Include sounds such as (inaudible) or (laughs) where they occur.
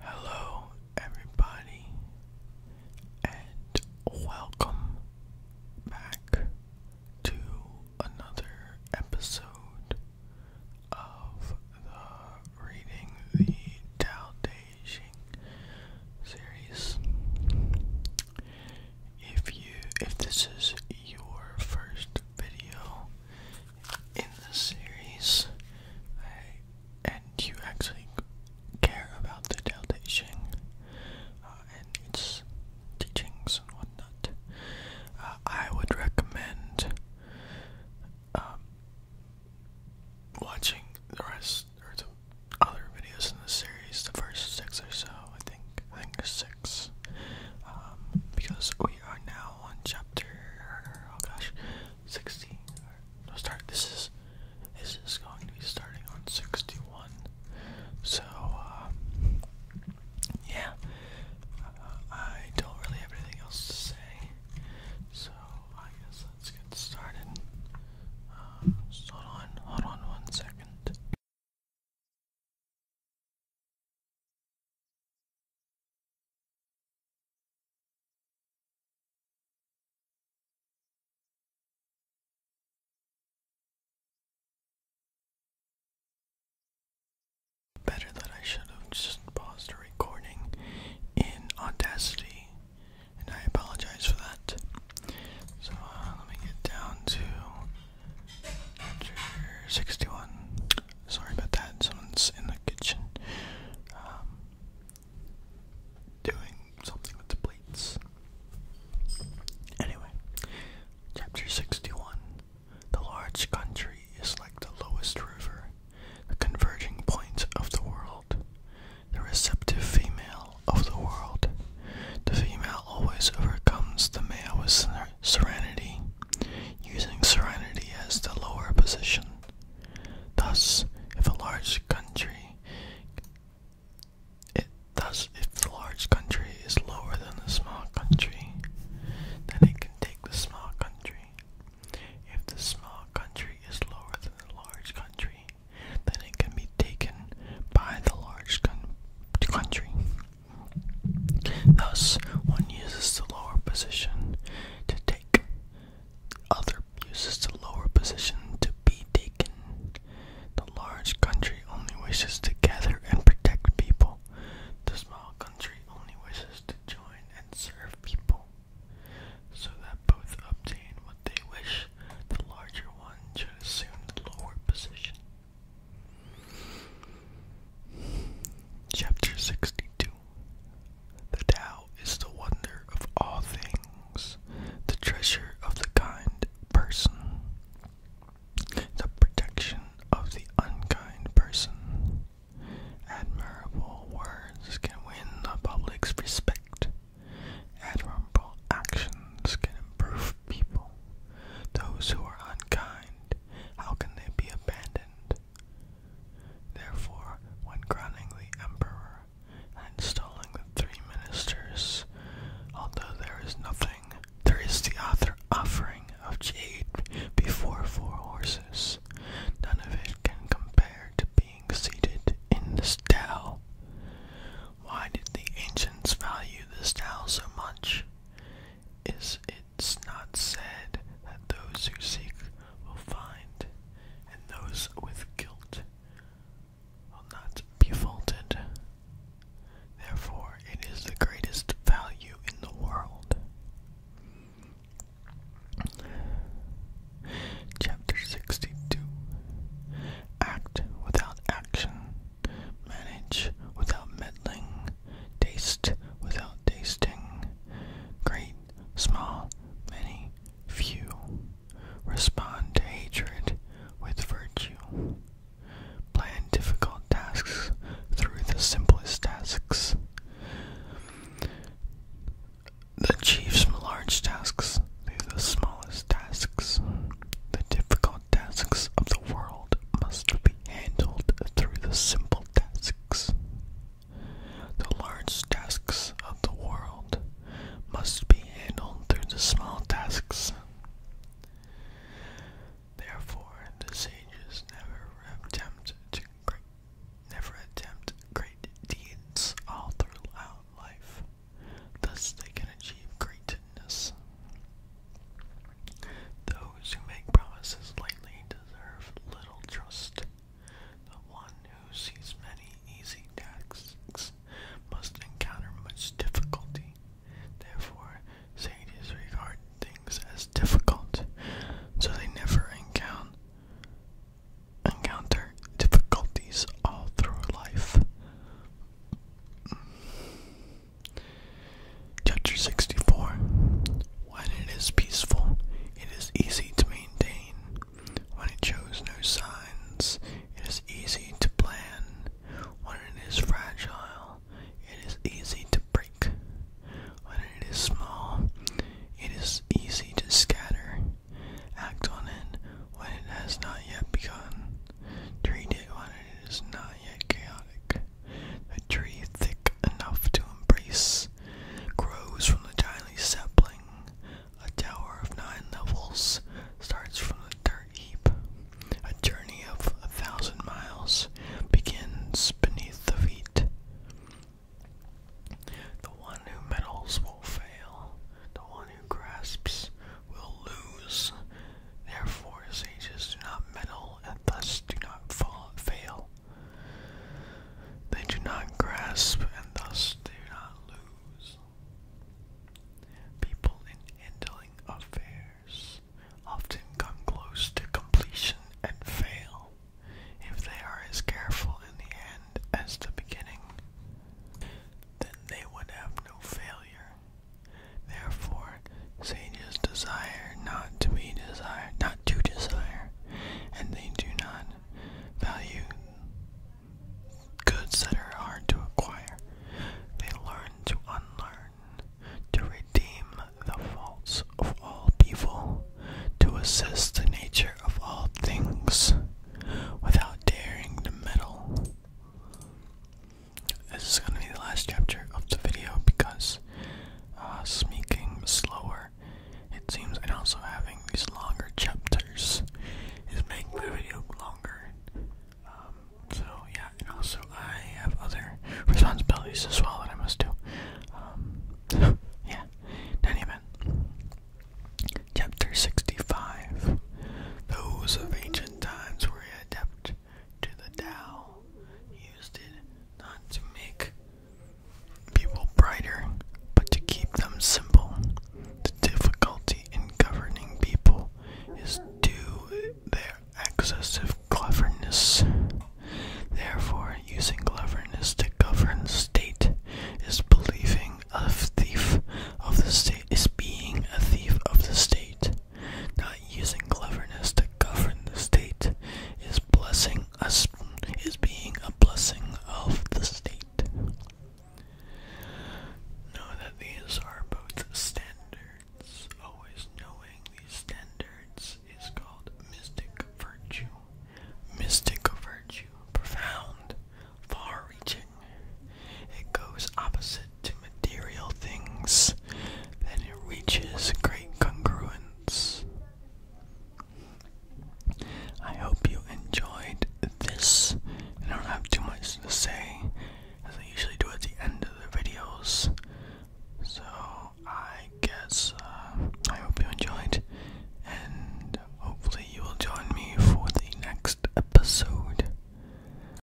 Hello, everybody, and welcome back to another episode of the Reading the Tao Te Ching series. If you, if this is your first video in the series, and you actually care about the Tao Te Ching uh, and its teachings and whatnot, uh, I would recommend um, watching the rest or the other videos in the series, the first six or so, I think. I think six. Um, because we are now on chapter, oh gosh, sixty. No start. This is this is going to be starting on sixty one. So uh, yeah, uh, I don't really have anything else to say. So I guess let's get started. Uh, hold on, hold on one second. Better that I should have just paused the recording in Audacity, and I apologize for that. So uh, let me get down to chapter 61. Sorry about that. Someone's in the kitchen um, doing something with the plates. Anyway, chapter 61. The large country is like the lowest river, the converging point of the world, the receptive female of the world. The female always overcomes the male with serenity using serenity as the lower position. Thus, if a large country thus, if the large country is lower than the small country, then it can take the small country. If the small country is lower than the large country, then it can be taken by the large country. Thus, one uses the lower position to take. Other uses the lower position to be taken. The large country only wishes to gather and protect people. The small country only wishes to join and serve people. So that both obtain what they wish, the larger one should assume the lower position. Chapter 62 the Tao is the wonder of all things, the treasure of the kind person, the protection of the unkind person. Admirable words can win the public's respect. Admirable actions can improve people. Those who are unkind, how can they be abandoned? Therefore, when crowning the emperor and installing the three ministers, although there is nothing, there is the other offering of jade before four horses. None of it can compare to being seated in the Tao. Why did the ancients value this Tao so much? Is it it's not said that those who seek will find, and those with guilt will not be faulted. Therefore, it is the greatest value in the world. Chapter 62 Act without action, manage without meddling, taste without tasting, great, small, many, few, respond to hatred with virtue, plan difficult tasks through the simplest tasks. Achieve some large tasks through the smallest tasks. The difficult tasks of the world must be handled through the simple tasks. The large tasks of the world must be handled through the small tasks. Therefore, the sages never attempt to never attempt great deeds all throughout life. Thus, they can achieve greatness. Those who make promises lightly deserve little trust. The one who sees many easy tasks must encounter much difficulty. Therefore, sages regard things as difficult, so they never encounter encounter difficulties all through life. Chapter 64 When it is peaceful, it is easy to maintain. When it shows no signs, it is easy to plan. When it is fragile, it is easy to break. When it is small, it is easy to scatter. Act on it when it has not yet begun. Treat it when it is not yet chaotic. A tree thick enough to embrace grows from a tiny sapling. A tower of nine levels starts from a dirt heap. A journey of a thousand miles begins beneath the feet. The one who meddles will fail. The one who grasps will lose. Therefore, sages do not meddle and thus do not fall, fail. They do not grasp and thus do not lose. People in handling affairs often come close to completion and fail if they are as careful in the end as the beginning. Then they would have no failure Therefore, sages desire not to be desired, not to desire, and they do not value goods that are hard to acquire. They learn to unlearn, to redeem the faults of all people, to assist the nature of all things, without daring to meddle. This is gonna be the last chapter of the video because uh, speaking slower, it seems, and also having these longer chapters is making the video longer. Um, so yeah, and also I have other responsibilities as well that I must do. Um, (laughs) yeah, in chapter sixty-five. Those of ancient times were adept to the Tao, used it not to make people brighter, but to keep them simple. The difficulty in governing people is due to their excessive cleverness. Therefore, using cleverness to govern state is believing a thief of the state is being a thief of the state. Not using cleverness to govern the state is blessing us is being a blessing of the state. Know that these are both standards. Always knowing these standards is called mystic virtue. Mystic virtue, profound, far reaching. It goes opposite to material things, and it reaches great congruence. I hope you enjoyed this. I don't have too much to say, as I usually do at the end of the videos. So I guess uh, I hope you enjoyed, and hopefully you will join me for the next episode.